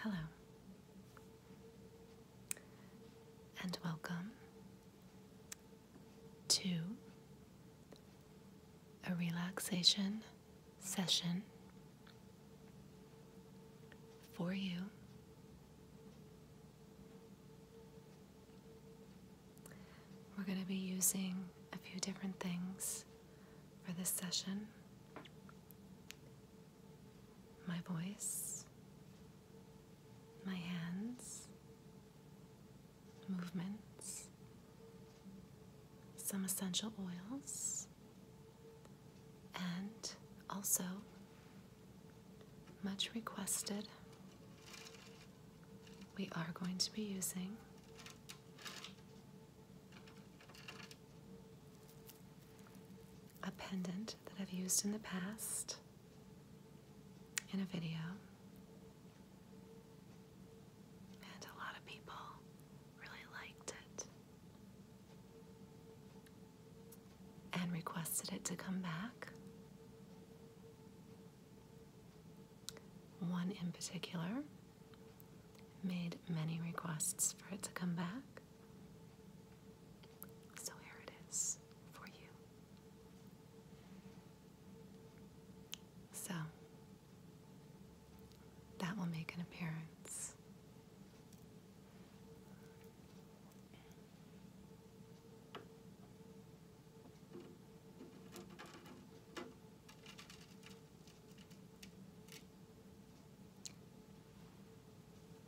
Hello, and welcome to a relaxation session for you. We're going to be using a few different things for this session. My voice, my hands, movements, some essential oils, and also much requested, we are going to be using a pendant that I've used in the past in a video. And a lot of people really liked it and requested it to come back. One in particular made many requests for it to come back. So here it is for you. So that will make an appearance.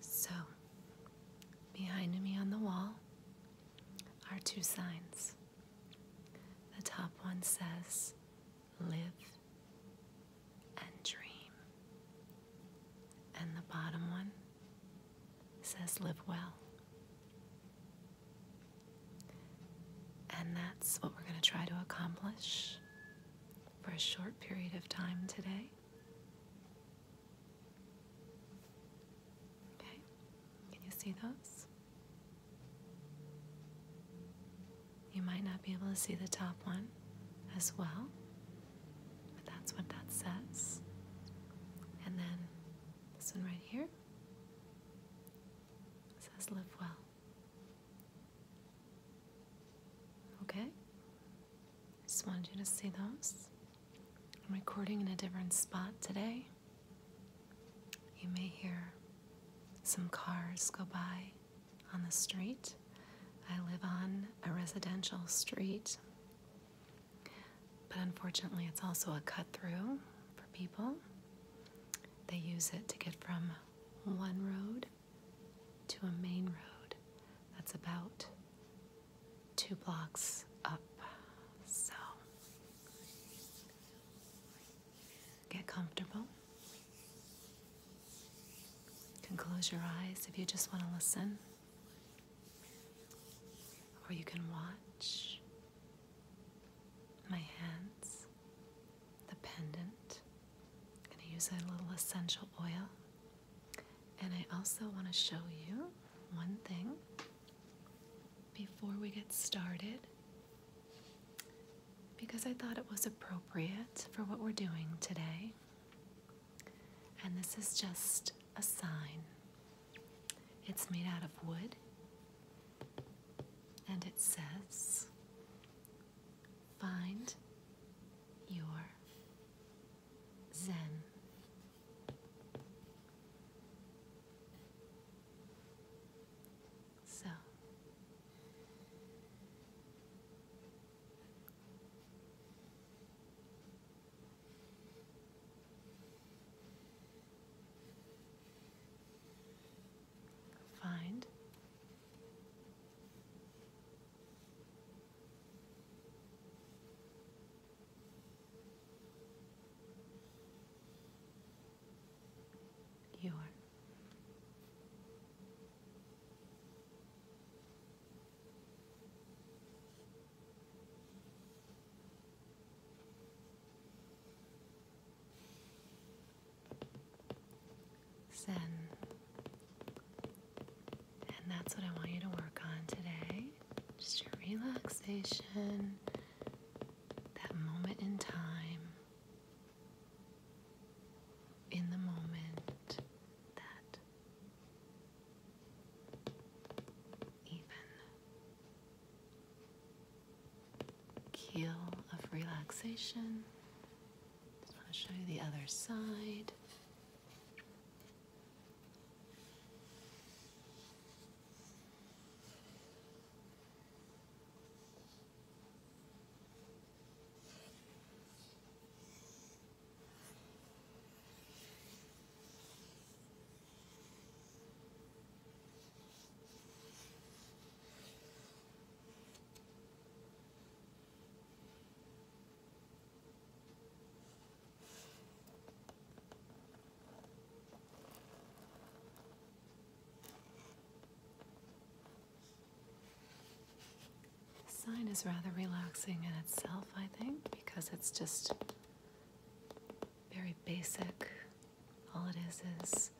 So, behind me on the wall are two signs. The top one says, Live and dream. And the bottom one says, Live well. And that's what we're going to try to accomplish for a short period of time today. Okay, can you see those? You might not be able to see the top one as well, but that's what that says. And then this one right here says live well. Okay? I just wanted you to see those. I'm recording in a different spot today. You may hear some cars go by on the street. I live on a residential street, but unfortunately, it's also a cut through for people. They use it to get from one road to a main road that's about two blocks up. So get comfortable. can close your eyes if you just want to listen, or you can watch my hands the pendant. I'm going to use a little essential oil. And I also want to show you one thing before we get started because I thought it was appropriate for what we're doing today. And this is just a sign. It's made out of wood and it says, Find your Zen. So find your Zen. And that's what I want you to work on today. Just your relaxation, that moment in time, in the moment that even keel of relaxation just want to show you the other side. The sign is rather relaxing in itself, I think, because it's just very basic. All it is is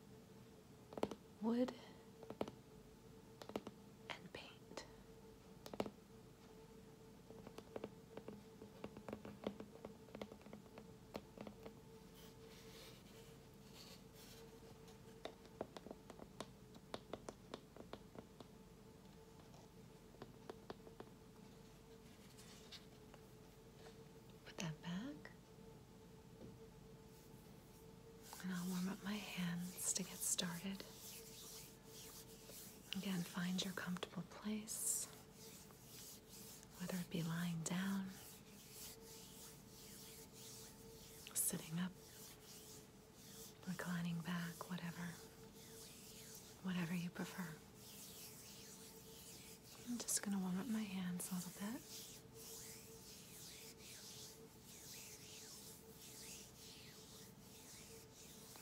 wood and paint. Put that back. And I'll warm up my hands to get started. Again, find your comfortable place, whether it be lying down, sitting up, reclining back, whatever, whatever you prefer. I'm just going to warm up my hands a little bit.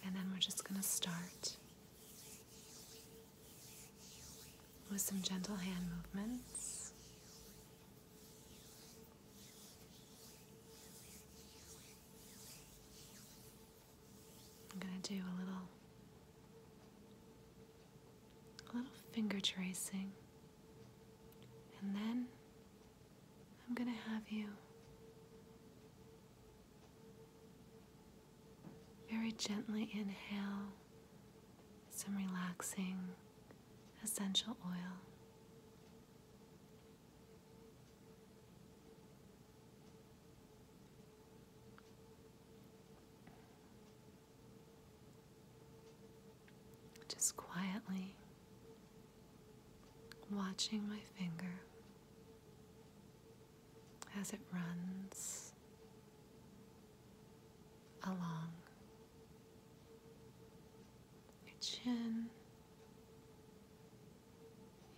And then we're just going to start with some gentle hand movements. I'm going to do a little a little finger tracing and then I'm going to have you very gently inhale some relaxing essential oil just quietly watching my finger as it runs along your chin,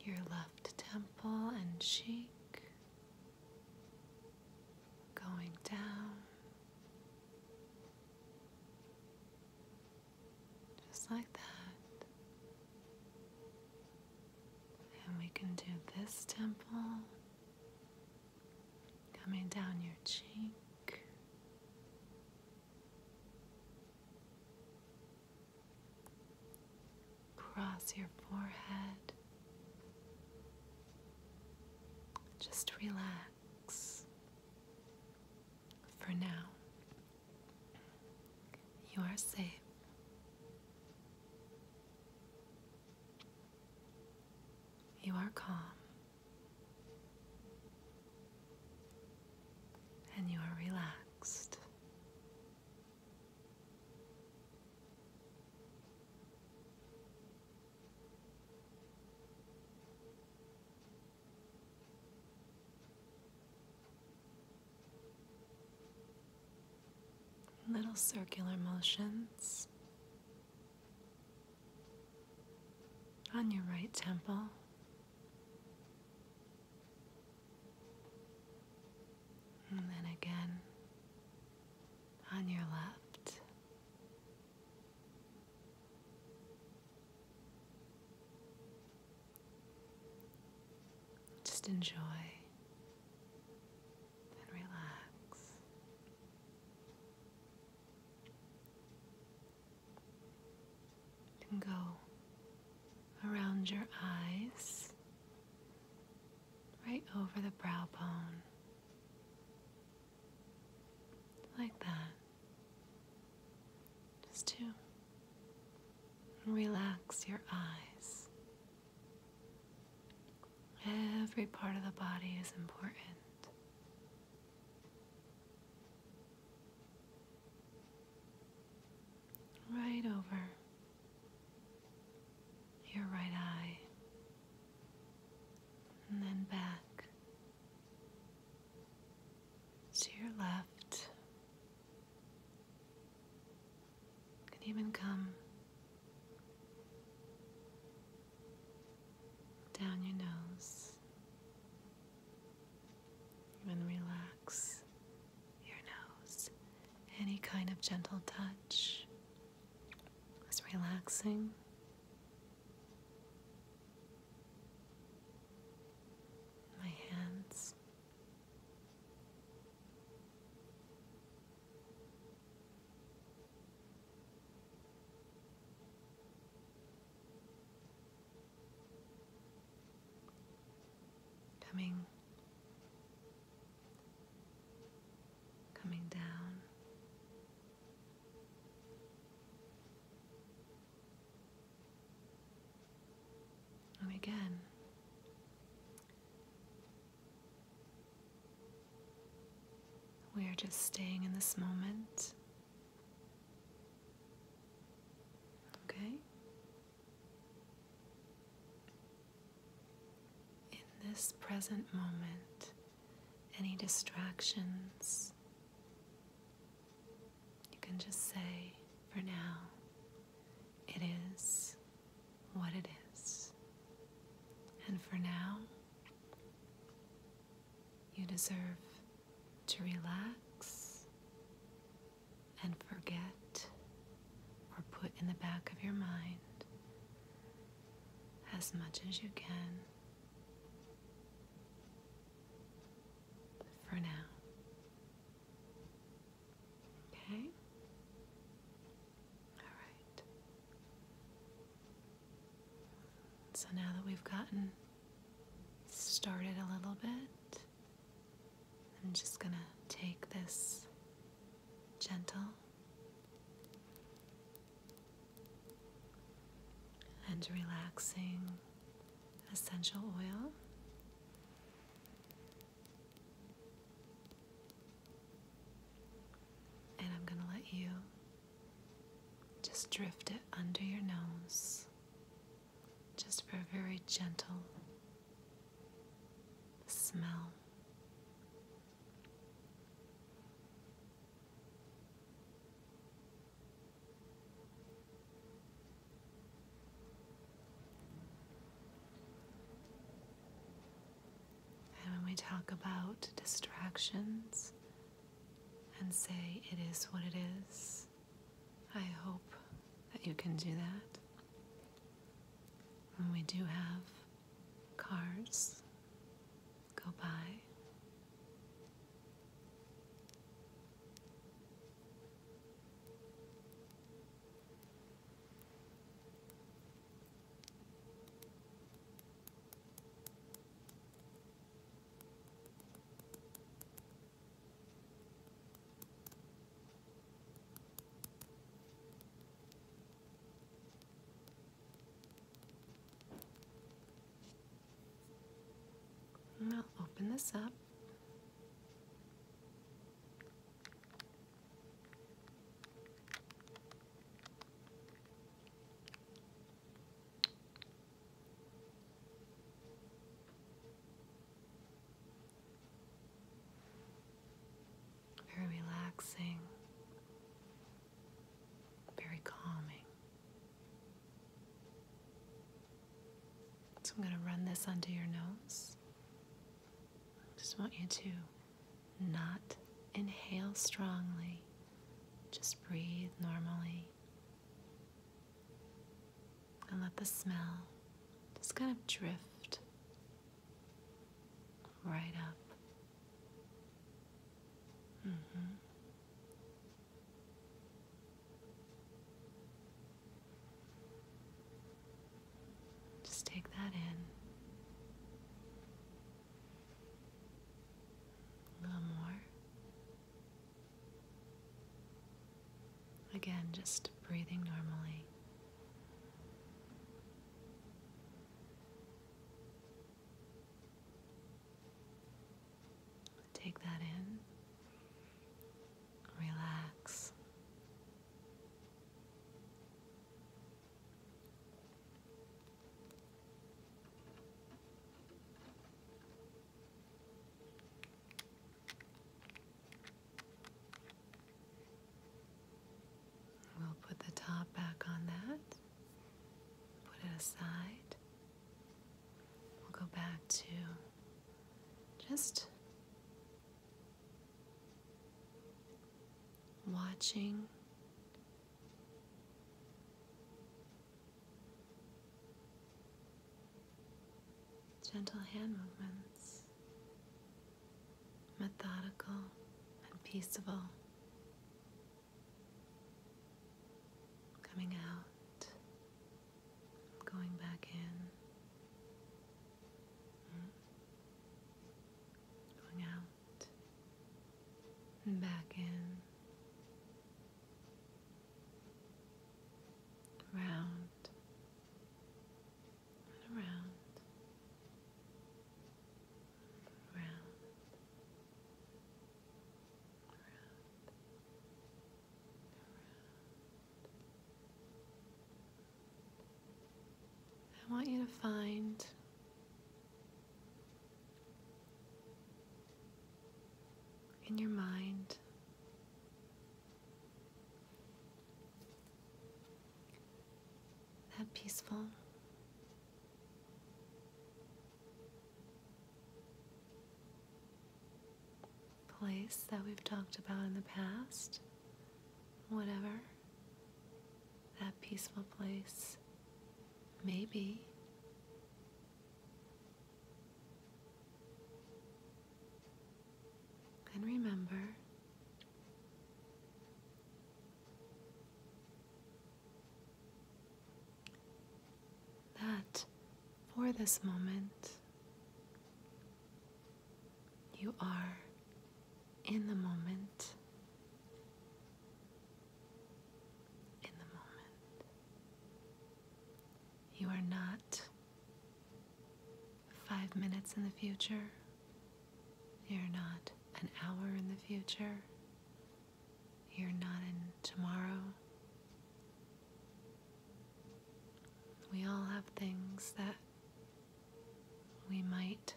your left temple and cheek. Going down just like that. And we can do this temple coming down your cheek. Cross your forehead. Just relax. For now, you are safe. You are calm. And you are relaxed. Little circular motions on your right temple. And then again on your left. Just enjoy and relax. And go around your eyes, right over the brow bone, like that. Just to relax your eyes. Every part of the body is important. Right over your right eye, and then back to your left. You can even come down your nose and relax your nose. Any kind of gentle touch is relaxing my hands. Coming, coming down and oh, again, we are just staying in this moment. Okay? In this present moment, any distractions you can just say, for now, it is what it is. And for now, you deserve to relax and forget or put in the back of your mind as much as you can for now. Okay? All right. So now that we've gotten started a little bit, I'm just going to take this gentle and relaxing essential oil. And I'm going to let you just drift it under your nose, just for a very gentle smell. And when we talk about distractions and say it is what it is, I hope that you can do that. And we do have cars go by. I'll open this up. Very relaxing, very calming. So I'm going to run this under your nose. Just want you to not inhale strongly, just breathe normally. And let the smell just kind of drift right up. Mm-hmm. Just take that in. A little more. Again, just breathing normally. Take that in. Relax. We'll put the top back on that, put it aside. We'll go back to just watching. Gentle hand movements, methodical and peaceable. Coming out, going back in, mm. going out, and back in, round and around, round I want you to find in your mind that peaceful place that we've talked about in the past, whatever that peaceful place Maybe. And remember that for this moment you are in the moment. In the moment, you are not five minutes in the future, you're not an hour in the future, you're not in tomorrow. We all have things that we might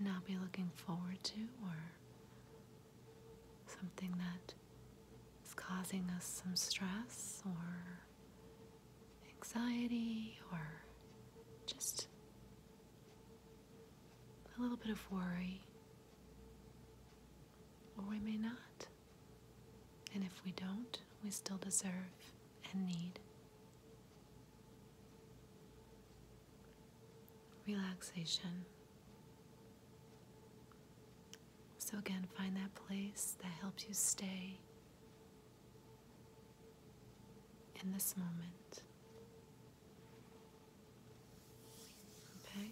not be looking forward to, or something that is causing us some stress or anxiety or just a little bit of worry. Or we may not. And if we don't, we still deserve and need. Relaxation. So, again, find that place that helps you stay in this moment. Okay.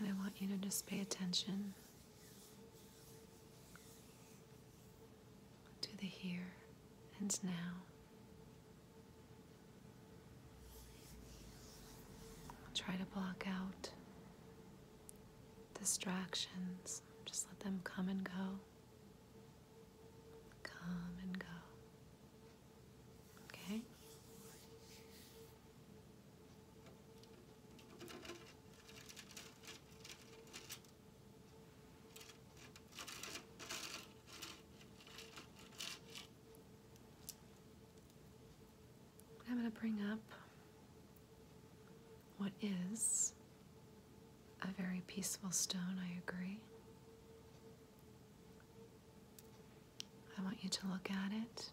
And I want you to just pay attention to the here and now. Try to block out distractions. Just let them come and go. Come and go. Okay? I'm going to bring up what is a very peaceful stone, I agree. I want you to look at it.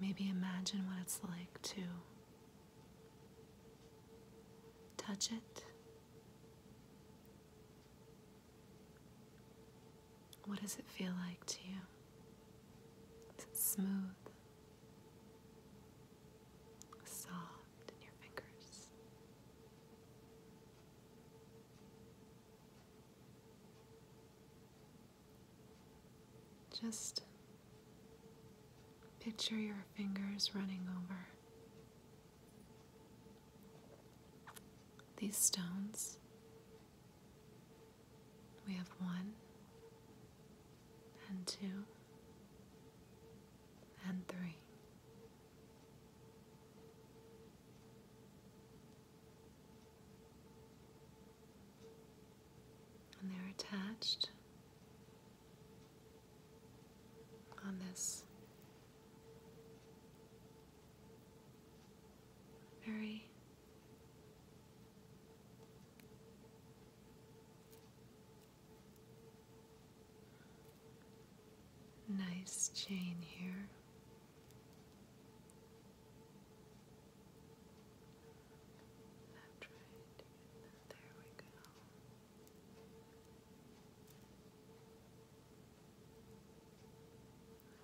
Maybe imagine what it's like to touch it, what does it feel like to you? Is it smooth? Soft in your fingers? Just picture your fingers running over these stones, we have one and two and three. And they're attached on this very nice chain here. there we go.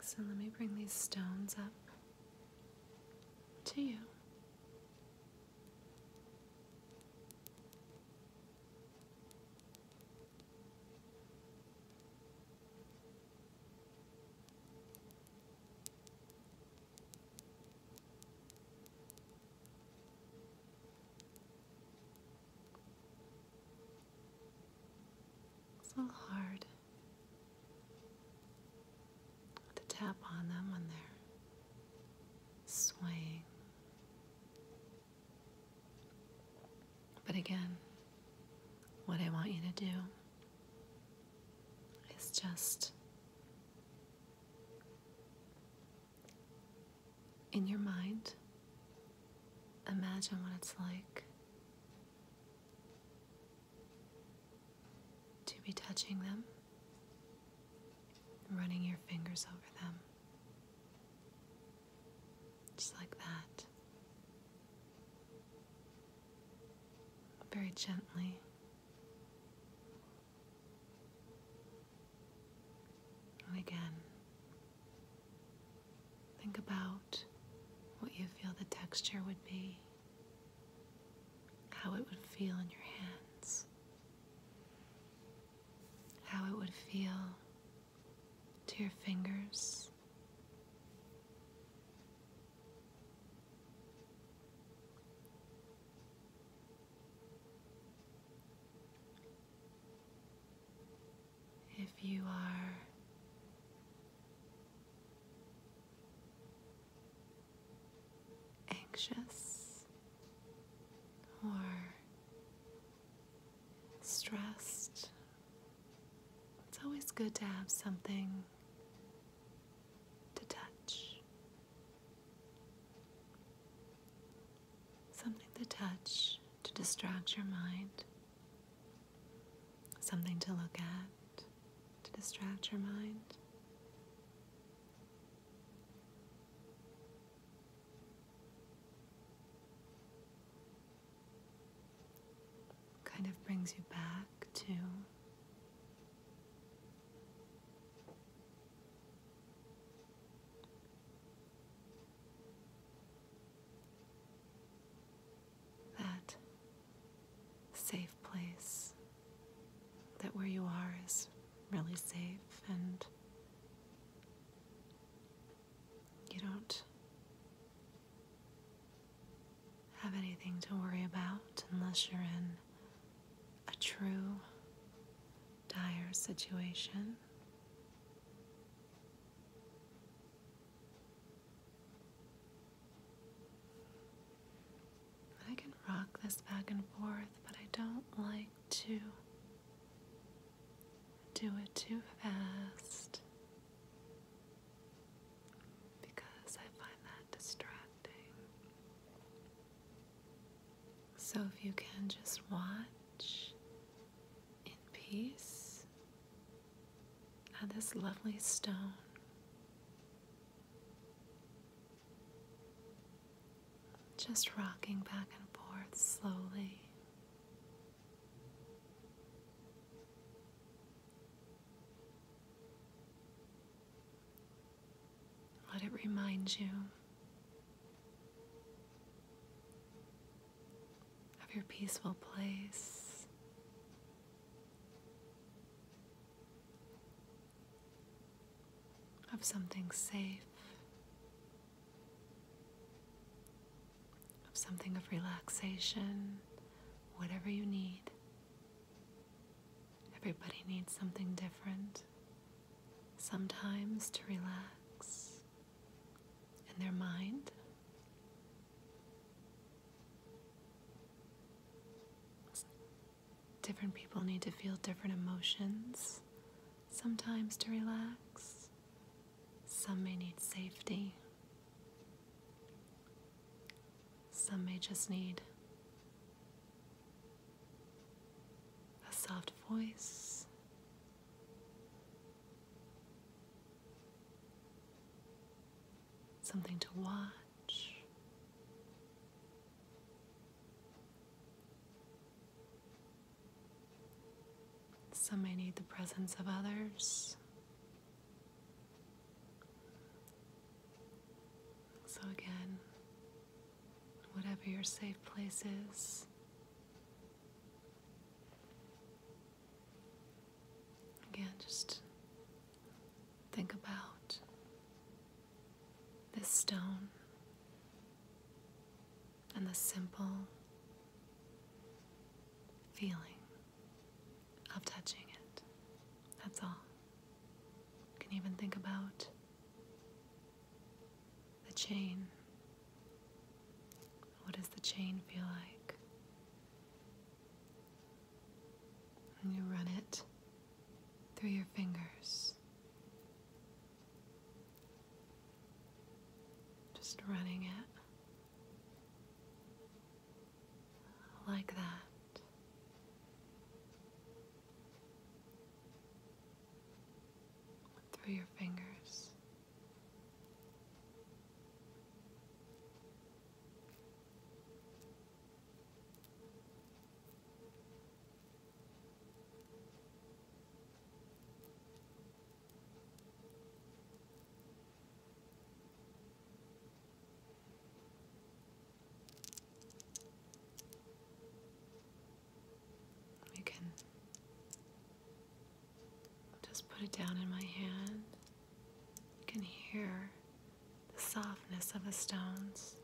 So let me bring these stones up to you. It's a little hard to tap on them when they swaying. But again, what I want you to do is just in your mind, imagine what it's like to be touching them, running your fingers over them, just like that. Very gently. And again, Think about what you feel the texture would be, how it would feel in your hands, how it would feel to your fingers. If you are anxious or stressed, it's always good to have something to touch something to touch to distract your mind, something to look at to distract your mind. Kind of brings you back to that safe place, that where you are is really safe and you don't have anything to worry about unless you're in a true dire situation. I can rock this back and forth, but I don't like to do it too fast because I find that distracting. So if you can just watch in peace at this lovely stone. Just rocking back and forth slowly. Let it remind you of your peaceful place. Of something safe, of something of relaxation, whatever you need. Everybody needs something different. Sometimes to relax, in their mind. Different people need to feel different emotions sometimes to relax. Some may need safety. Some may just need a soft voice something to watch. Some may need the presence of others. So, again, whatever your safe place is, Again, just think about this stone and the simple feeling of touching it. That's all. You can even think about the chain what does the chain feel like? And you run it through your fingers. Just running it like that. Through your fingers. You can just put it down in my hand. You can hear the softness of the stones.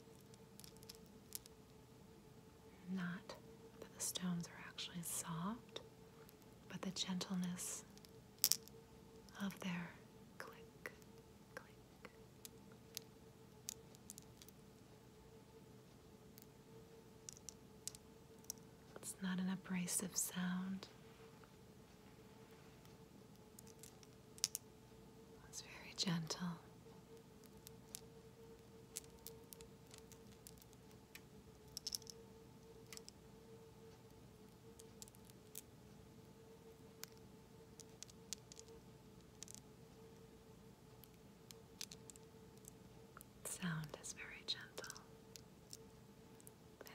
Not that the stones are actually soft, but the gentleness of their click, click. It's not an abrasive sound. It's very gentle. sound is very gentle and me.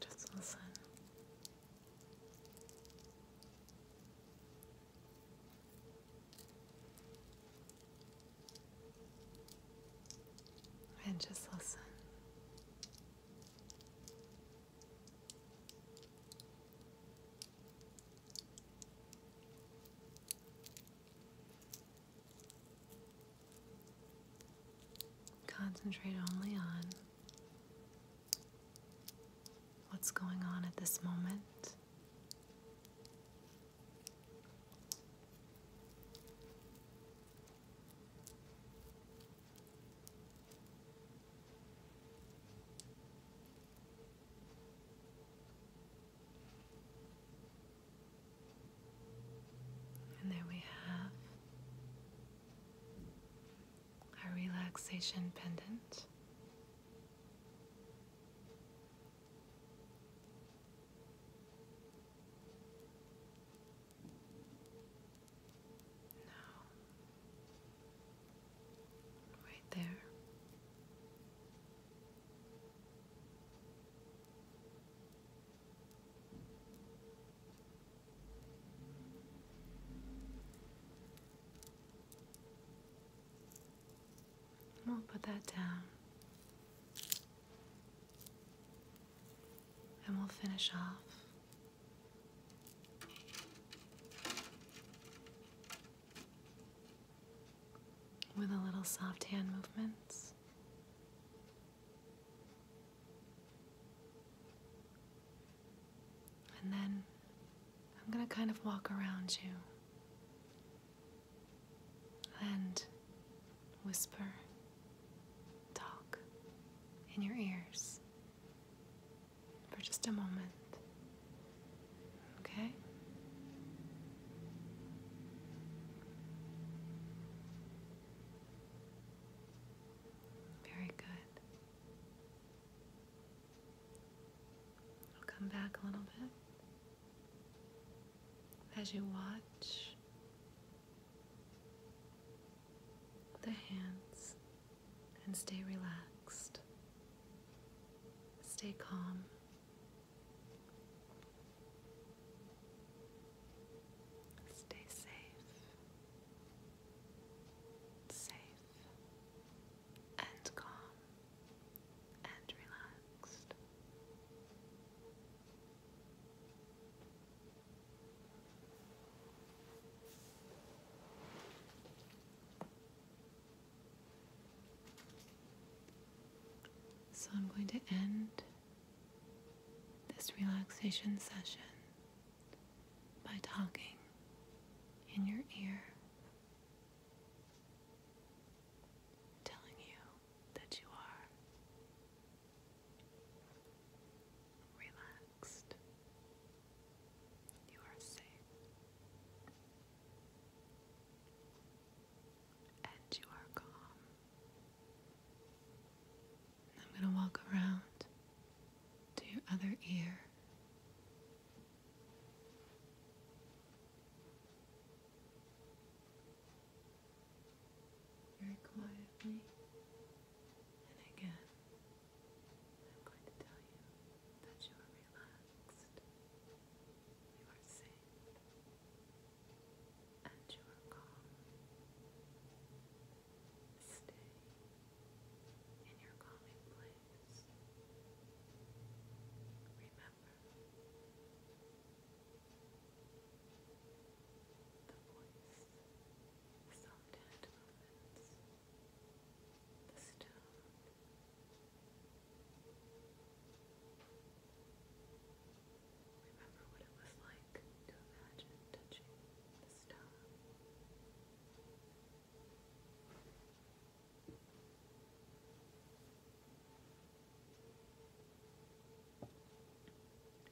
Just listen. And just listen. Concentrate only on what's going on at this moment. And there we have our relaxation pendant. Now, right there. We'll put that down. And we'll finish off with a little soft hand movements. And then I'm going to kind of walk around you and whisper, talk in your ears for just a moment. Okay? Very good. I'll come back a little bit. As you watch the hands and stay relaxed, stay calm. Stay safe, safe, and calm, and relaxed. So I'm going to end this relaxation session by talking in your ear, telling you that you are relaxed, you are safe, and you are calm. I'm going to walk around to your other ear. Very quietly. And again, I'm going to tell you that you are relaxed. You are safe and your calm. Stay in your calming place. Remember, the voice, soft movements, the stone. Remember what it was like to imagine touching the star.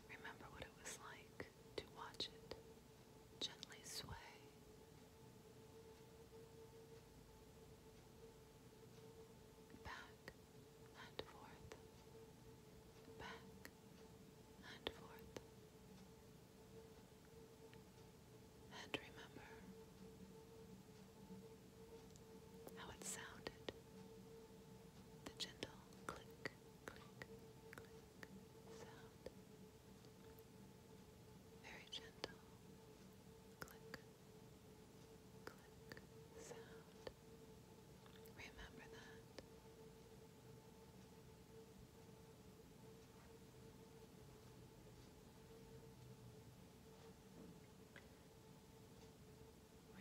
Remember what it was like to watch it gently sway back and forth, back and forth. And remember how it sounded the gentle click, click, click sound. Very gentle click, click sound. Remember that.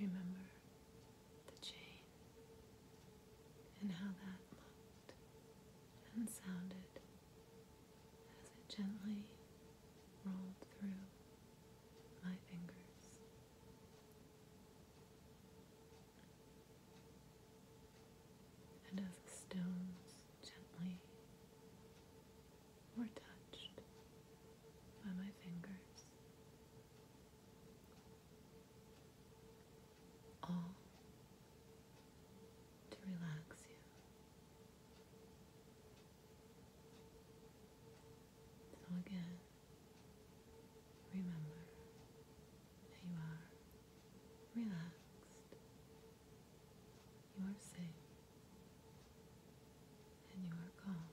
Remember the chain and how that looked and sounded as it gently rolled through my fingers. And as the stones gently were touched by my fingers, all to relax you. So again, Remember that you are relaxed, you are safe, and you are calm.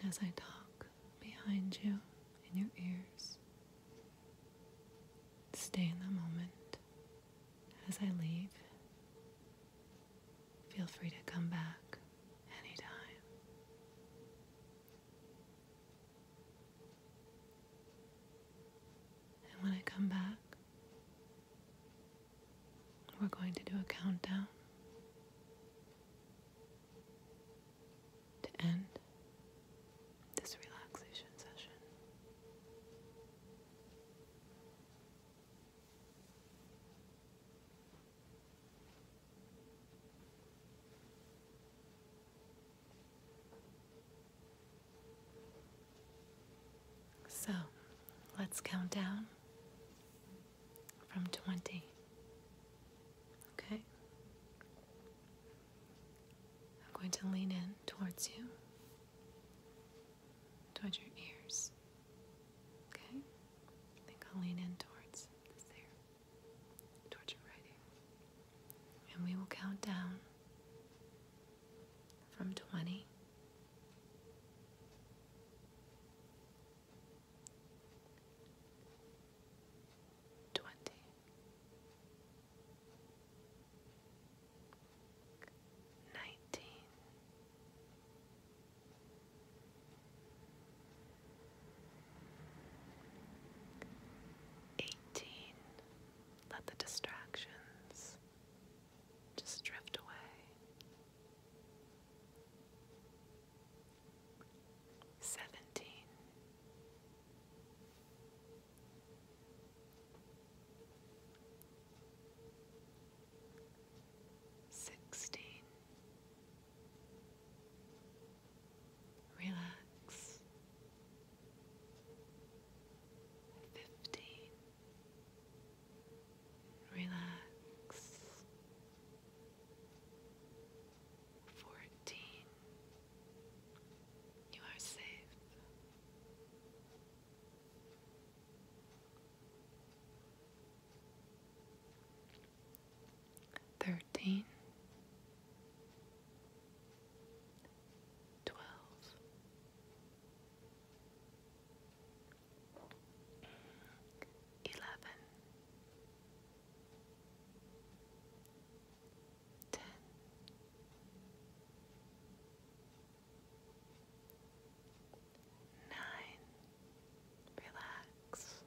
And as I talk behind you in your ears, Stay in the moment. As I leave, feel free to come back anytime. And when I come back, we're going to do a countdown to end this relaxation session. So let's count down from 20. Okay? I'm going to lean in towards you, towards your ears. Okay? I think I'll lean in towards this there, towards your right ear. And we will count down from 20. Twenty, nineteen, eighteen. Let the distractions just drift away. Seventeen. Sixteen. Relax. Fifteen. Relax. Fourteen. You are safe. Thirteen, twelve, eleven, ten, nine, relax.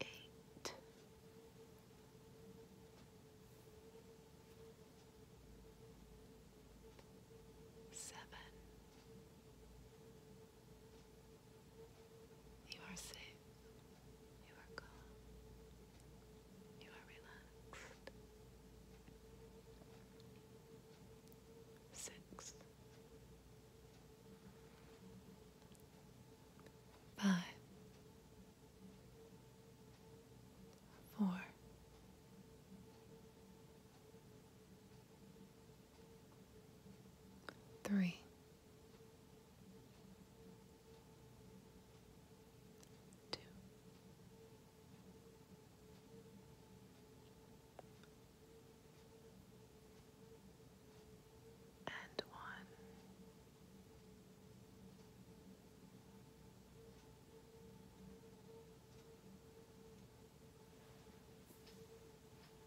Eight. Seven, you are safe. You are calm. You are relaxed. Six. Five. Four three, two, and one.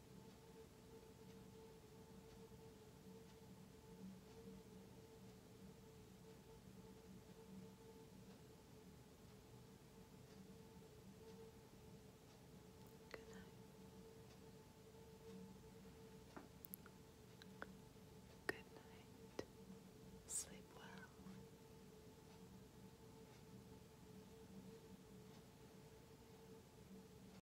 Good night. Good night. Sleep well.